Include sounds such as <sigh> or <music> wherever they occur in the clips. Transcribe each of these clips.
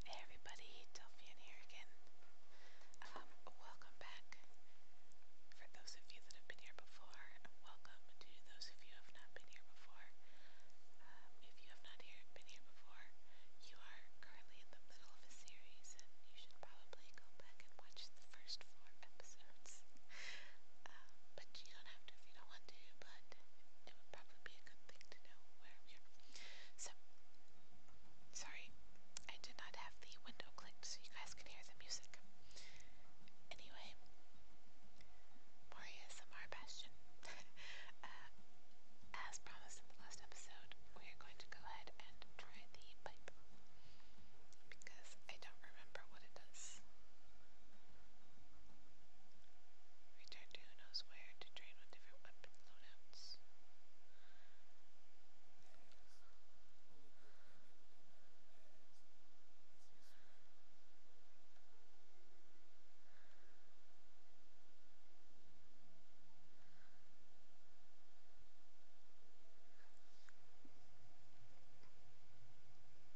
Hey everybody, Delphian here again. Um, welcome back. For those of you that have been here before, welcome to those of you who have not been here before. Um, if you have not been here before, you are currently in the middle of a series and you should probably go back and watch the first four episodes. <laughs> Um, but you don't have to don't want to, but it would probably be a good thing to know where we are. So, sorry, I did not have the window clicked so you guys could hear the music. Anyway, more ASMR Bastion. <laughs> Uh, as promised in the last episode, we are going to go ahead and try the pipe because I don't remember what it does. Return to who knows where to train with different weapon loadouts.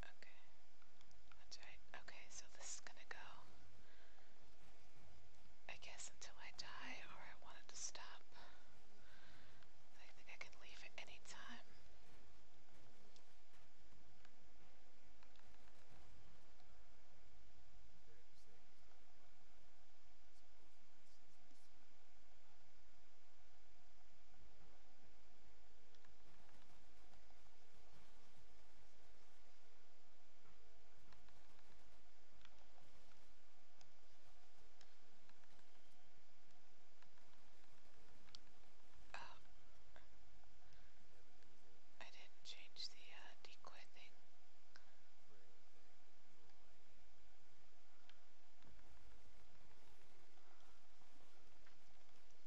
Okay. That's right. Okay, so this is gonna go, I guess, until I die or I want to stop. I think I can leave at any time. Oh. I didn't change the uh, decoy thing.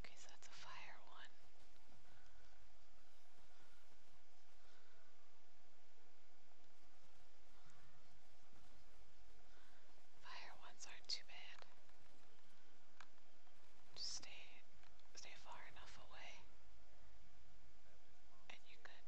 Okay, so that's a fire one. Fire ones aren't too bad. Just stay stay far enough away. And you could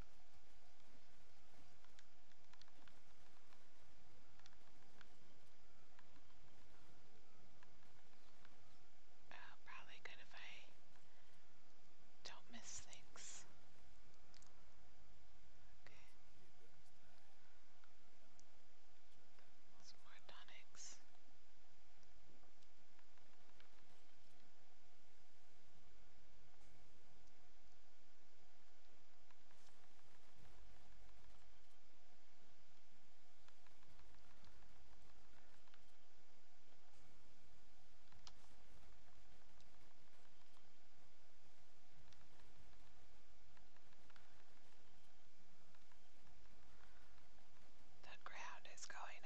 Uh, probably good if I don't miss things. Okay. Some more tonics. That ground is going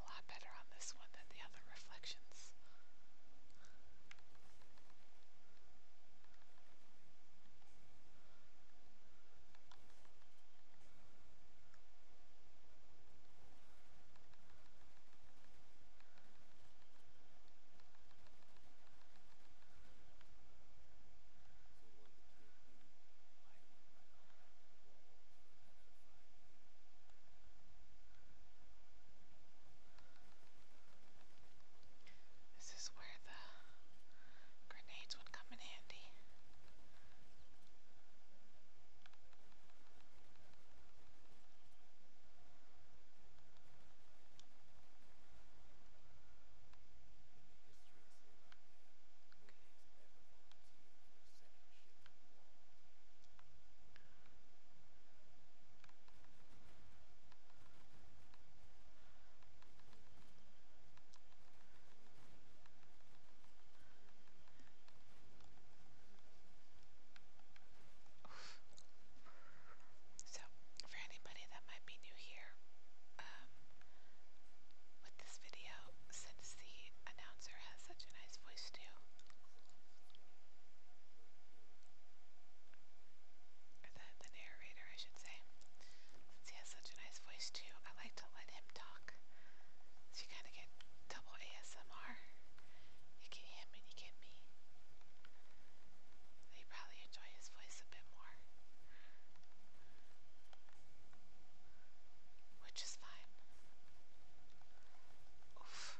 did a lot better on this one than the other reflections. This is where the grenades would come in handy. So, for anybody that might be new here, um, with this video since the announcer has such a nice voice too. Or the, the narrator, I should say. Since he has such a nice voice too, I like to let him talk. So you kind of get double ASMR. You get him and you get me. So you probably enjoy his voice a bit more. Which is fine. Oof.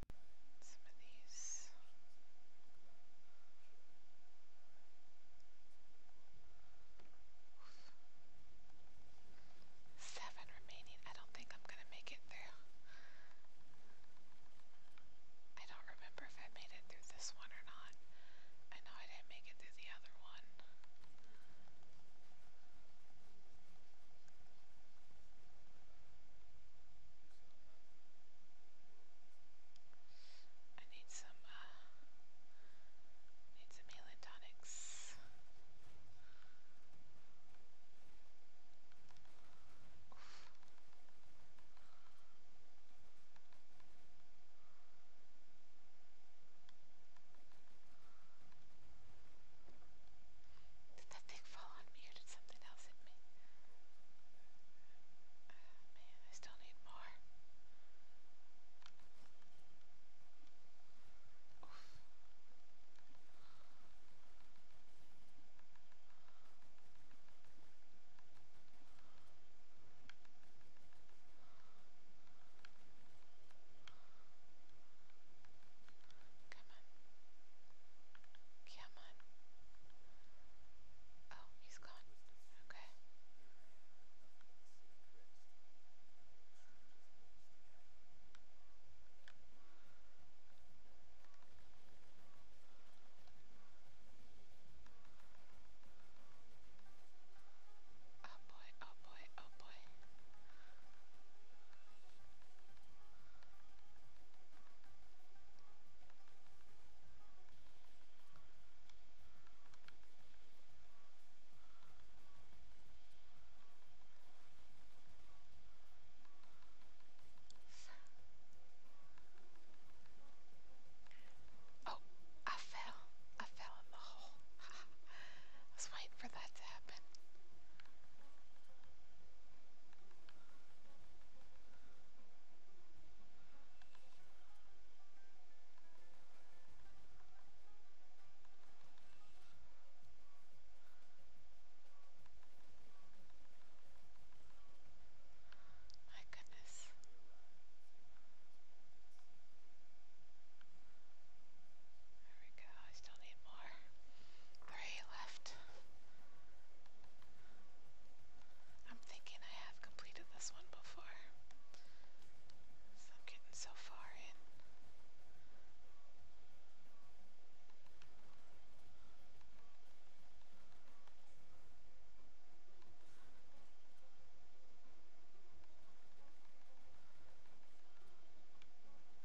some of these. Seven remaining. I don't think I'm going to make it through. I don't remember if I made it through this one or not. I know I didn't make it through the other one. I need some uh, need some healing tonics. Did that thing fall on me or did something else hit me? Oh man, I still need more. Oof. Come on. Come on. Oh, he's gone. Okay. Oh boy, oh boy, oh boy. Oh, I fell. I fell in the hole. <laughs> I was waiting for that to happen. My goodness. There we go. I still need more. Three left. I'm thinking I have completed this one before. So I'm getting so far in.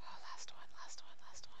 Oh, last one, last one, last one.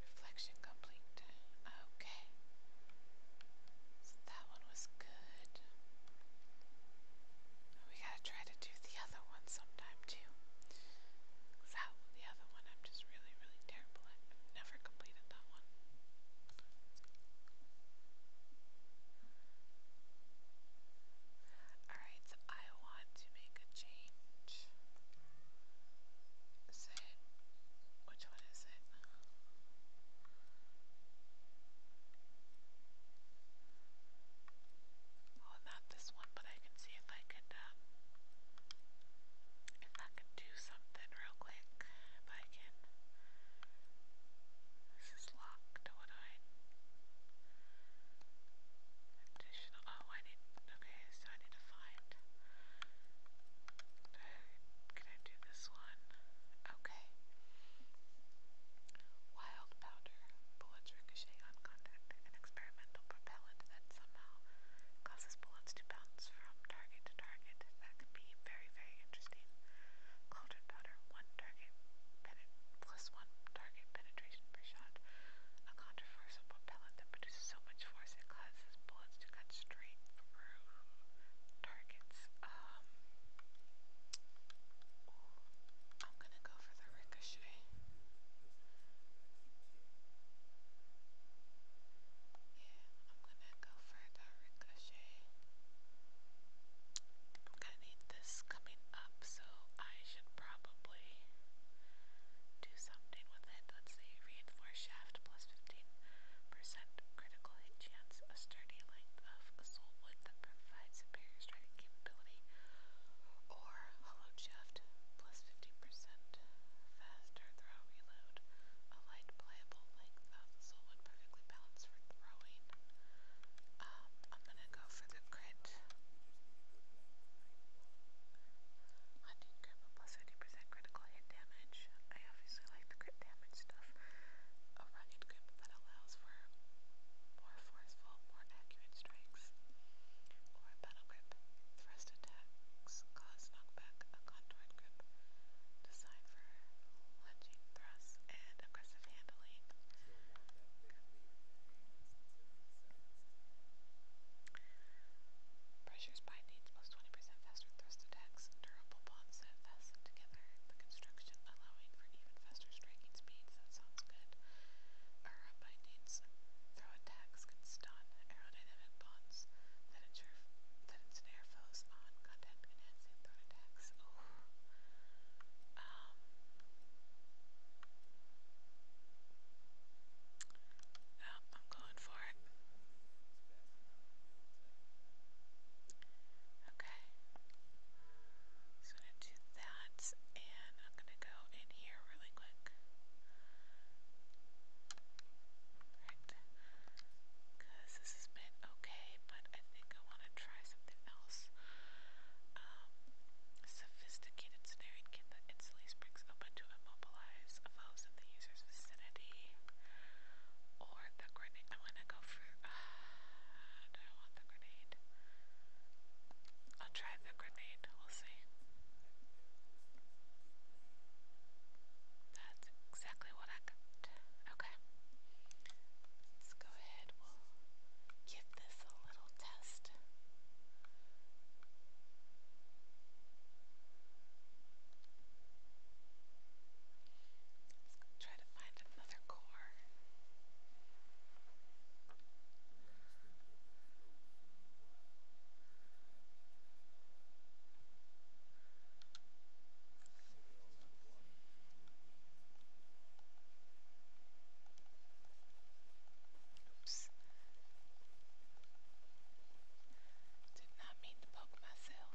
Reflection complete. Okay. So that one was good. We gotta try to do the other one sometime too. that the other one I'm just really, really terrible at. never completed that one. Alright, so I want to make a change. Is which one is it? Oh, not this one, but I can see if I could, um, if I could do something real quick. If I can this is locked, what do I... Additional... Oh, I need... Okay, so I need to find... Can I do this one? Okay. Wild powder. Bullets ricochet on contact. An experimental propellant that somehow causes bullets to bounce from target to target. That can be very, very very interesting. powder, one target plus one target penetration per shot. A controversial propellant that produces so much force it causes bullets to cut straight through targets. Um, I'm gonna go for the ricochet. Yeah, I'm gonna go for the ricochet. I'm going to need this coming up, so I should probably do something with it. Let's say reinforced shaft plus 15% critical hit chance, a sturdy length of soul that provides superior striking or hollow shaft plus 15% faster throw reload, a light pliable length of soul perfectly balanced for throwing. Um, I'm gonna go for the crit. Hunting grip plus 50% critical hit damage. I obviously like the crit damage stuff. A rugged grip that allows for more forceful, more accurate strikes. Or a battle grip. Thrust attacks cause knockback. A contoured grip. Design Lunging thrusts and aggressive handling. Pressures by needs plus 20% faster thrust attacks. Durable bonds that fasten together. The construction allowing for even faster striking speeds. That sounds good. Aura by needs. Throw attacks can stun aerodynamic bonds that ensure that ensnare foes on contact enhancing thrown Index. Oof. Um, oh, I'm going for it. Okay. So I'm gonna do that, and I'm gonna go in here really quick because this has been okay, but I think I want to try something else. Um, sophisticated snaring that instantly springs open to immobilize foes in the user's vicinity. Or the grenade. I want to go for. <sighs> do I want the grenade? I'll try the grenade. We'll see. That's exactly what I got. Okay. Let's go ahead, we'll give this a little test. Let's try to find another core. Oops. Did not mean to poke myself.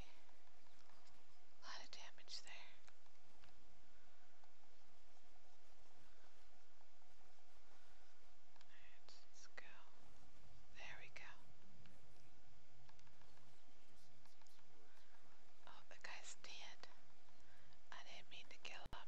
A lot of damage there. let's go. There we go. Oh, the guy's dead. I didn't mean to kill him.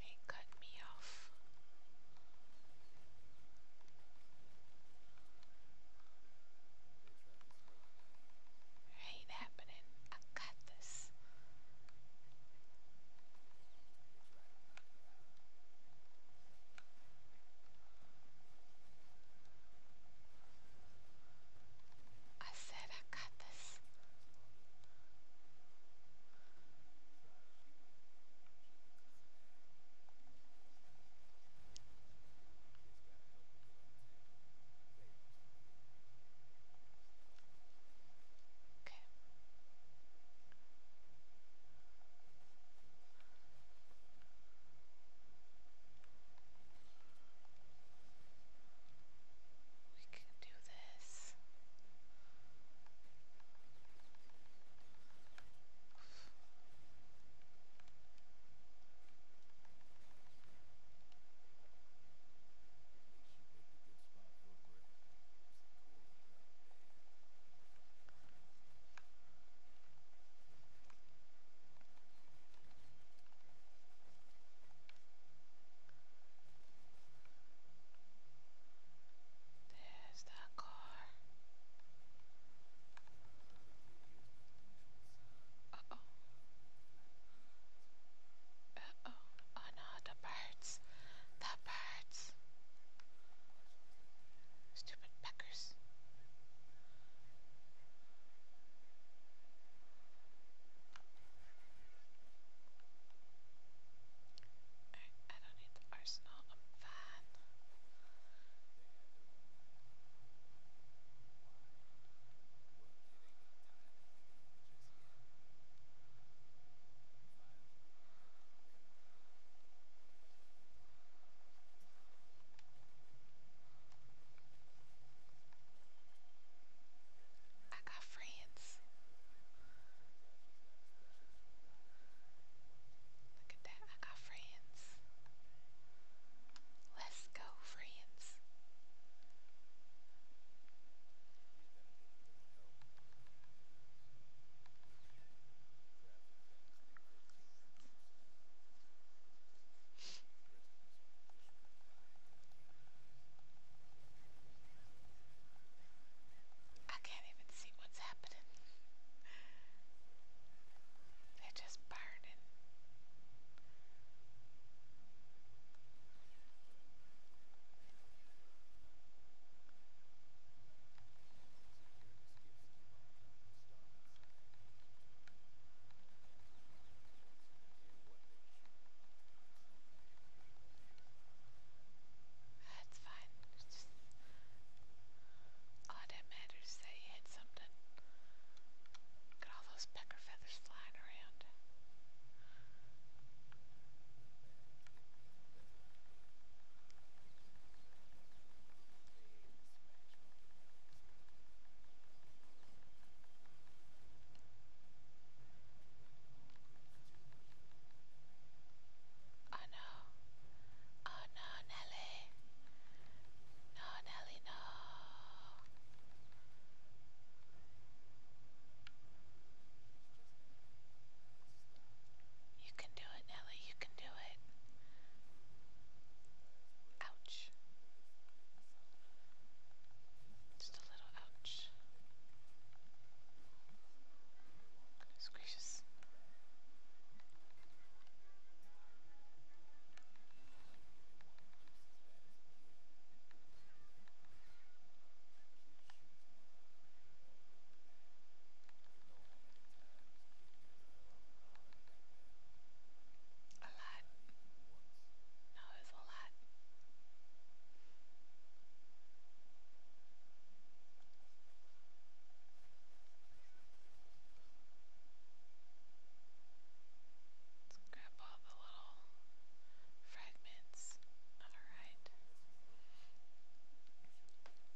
They cut me off. ain't happening. I got this. I said I got this. Okay. We can do this. There's that car. Uh-oh. Uh-oh. Oh no, the birds. The birds. Stupid peckers. I don't need the arsenal, I'm fine. I got friends. Look at that, I got friends. Let's go, friends. I can't even see what's happening. They're just burning. That's fine. It's just all that matters is that you hit something. Look at all those pecker feathers flying around. Oh no. Oh no, Nelly. No, Nelly, no. You can do it, Nelly. You do it. Ouch. Just a little ouch. Goodness a lot. No, it's a lot. Let's grab all the little fragments. Alright.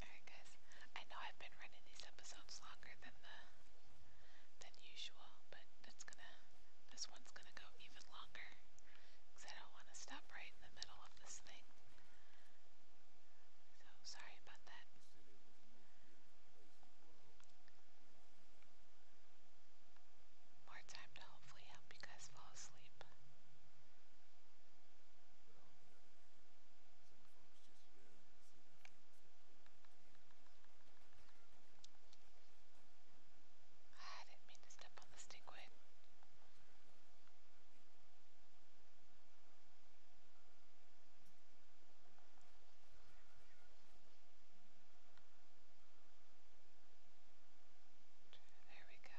Alright guys, I know I've been running these episodes longer than the than usual, but it's gonna this one's gonna go even longer because I don't want to stop right in the middle of this thing. So sorry about that. More time to hopefully help you guys fall asleep sleep. Ah, I didn't mean to step on the stingwing. There we go.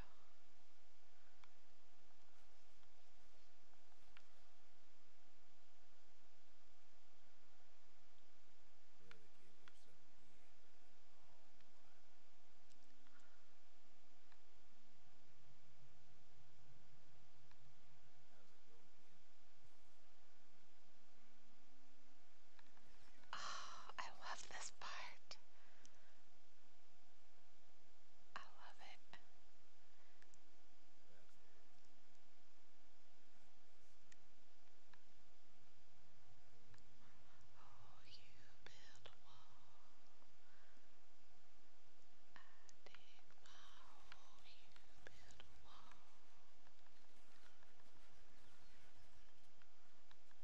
Oh, I love this part. I love it. Oh, you build a I dig my you build a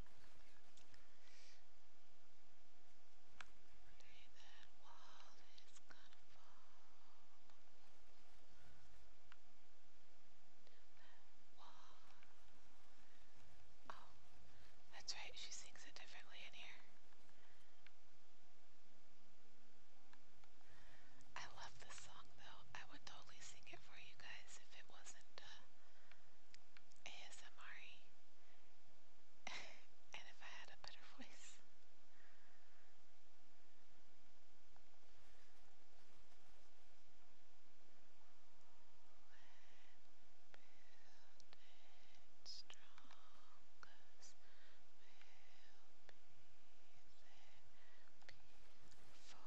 that wall is gonna fall. Wall. Oh, that's right, she sings it differently in here. I love this song though. I would totally sing it for you guys if it wasn't uh, ASMR and if I had a better voice. Build it strongest will be there before too long.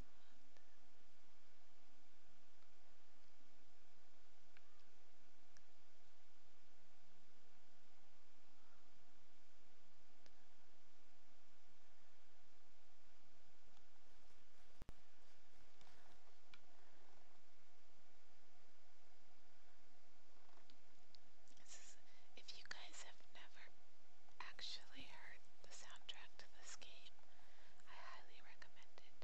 This is, if you guys have never actually heard the soundtrack to this game, I highly recommend it.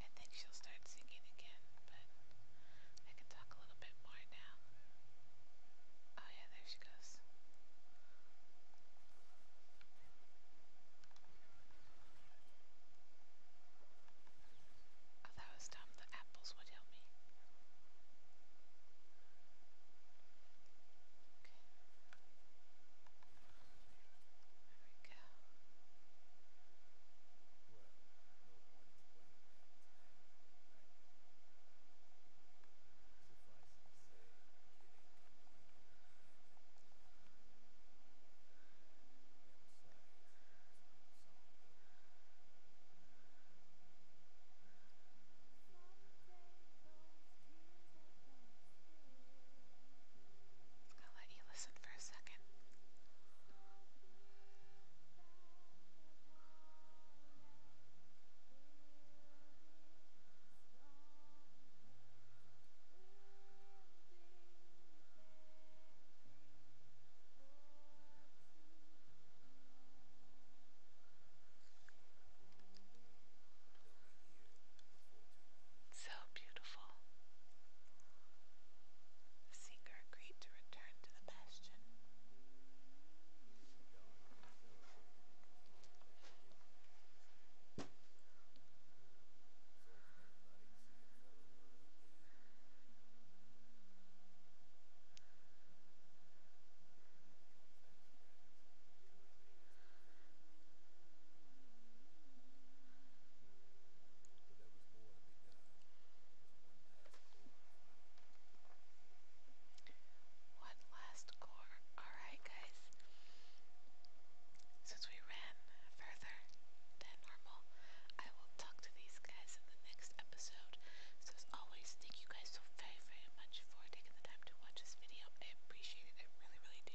I think she'll start singing again, but I can talk a little bit more now. Oh, yeah, there she goes. Oh, that was dumb. The apples would help me. Okay. There we go. I'll let you listen for a second. So beautiful. The seeker agreed to return to the bastion. One last core. Alright, guys. Since we ran further than normal, I will talk to these guys in the next episode. So as always, thank you guys so very, very much for taking the time to watch this video. I appreciate it. I really, really do.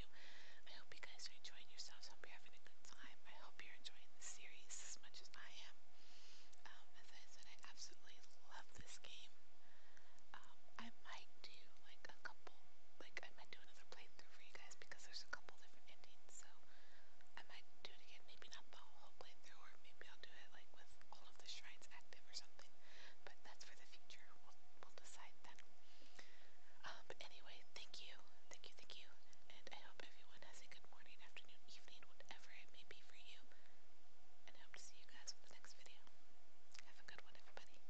I hope you guys are enjoying yourselves. I hope you're having a good time. I hope you're enjoying the series as much as I am. Um, as I said, I absolutely love this game. Um, I might do like a couple, like I might do another playthrough for you guys because there's a couple different endings. So I might do it again. Maybe not the whole playthrough, or maybe I'll do it like with all of the shrines active or something. But that's for the future. We'll decide then. Um, but anyway, thank you, thank you, thank you, and I hope everyone has a good morning, afternoon, evening, whatever it may be for you. And hope to see you guys in the next video. Have a good one, everybody.